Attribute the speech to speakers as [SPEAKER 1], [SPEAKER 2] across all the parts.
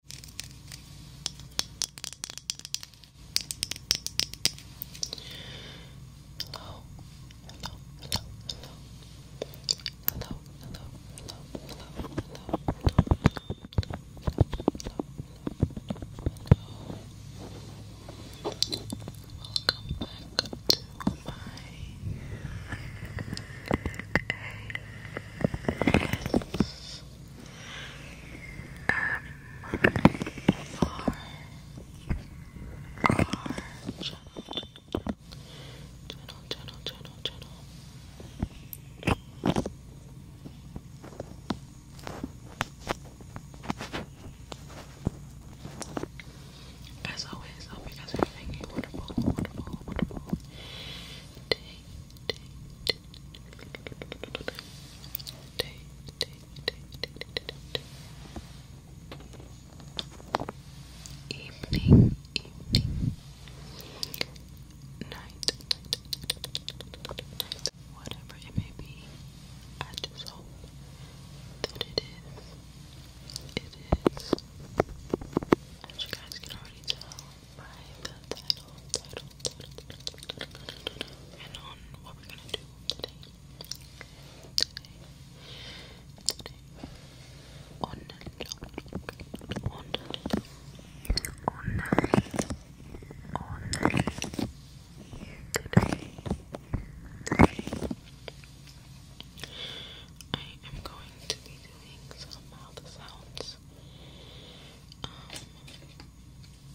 [SPEAKER 1] Hello, hello, Welcome back to my ASMR channel, channel, channel, channel. As always, I hope you guys are having a wonderful, wonderful, wonderful day, day, Evening, evening, night, whatever it may be, I just hope that it is, it is, as you guys can already tell, right, the title, title, title, title, title, and on what we're gonna do today. Today, today, on on on on today. I am going to be doing some mouth sounds um,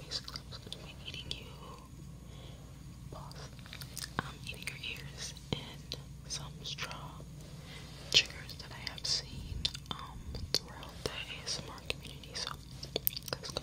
[SPEAKER 1] basically I'm eating you, boss. I'm eating your ears and some straw triggers that I have seen um, throughout the ASMR community. So let's go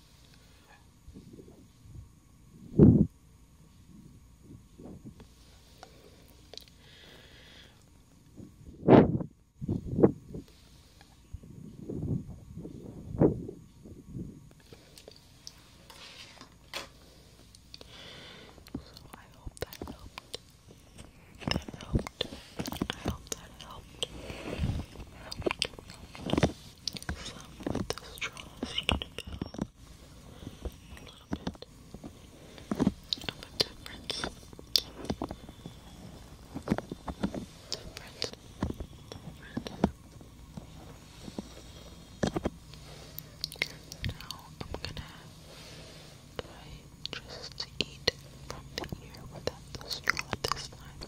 [SPEAKER 1] So I hope that helped. That helped. I hope that helped. Some of the straws a little bit of a difference. Difference. Difference. Now I'm gonna try just eat from the ear without the straw this time.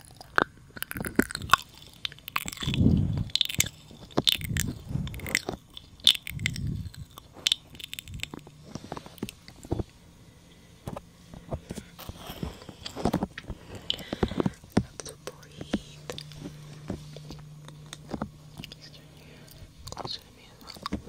[SPEAKER 1] Have to breathe. Just turn you closer to me as well.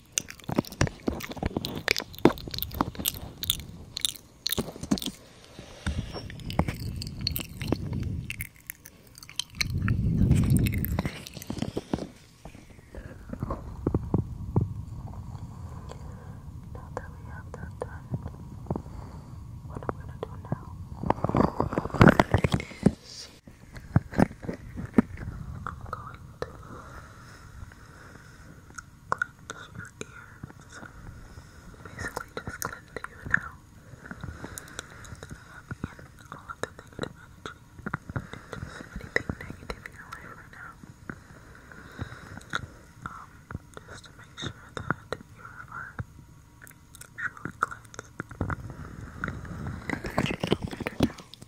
[SPEAKER 1] Now that we have that done, what I'm gonna do now is this. I'm going to cleanse your ears. Basically, just cleanse you now. And all of the negative energy. Just anything negative in your life right now. just to make sure that you are truly cleansed. You feel better now.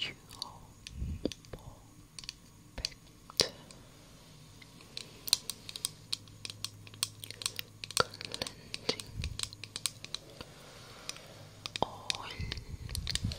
[SPEAKER 1] you all perfect. Cleansing oil. Oil.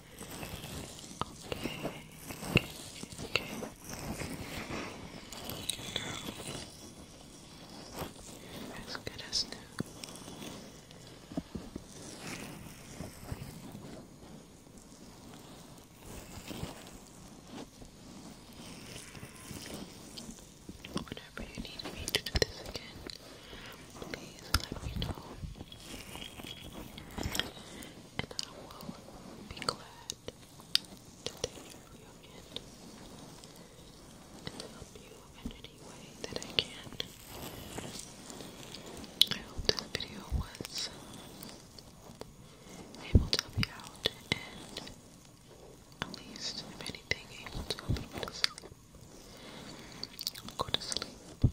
[SPEAKER 1] Okay, okay, okay. Good girl. As good as Whenever you need me to do this again, please let me know and I will be glad to take your end and help you in any way that I can. I hope this video was able to help you out and at least, if anything, able to help you go to sleep. Go to sleep.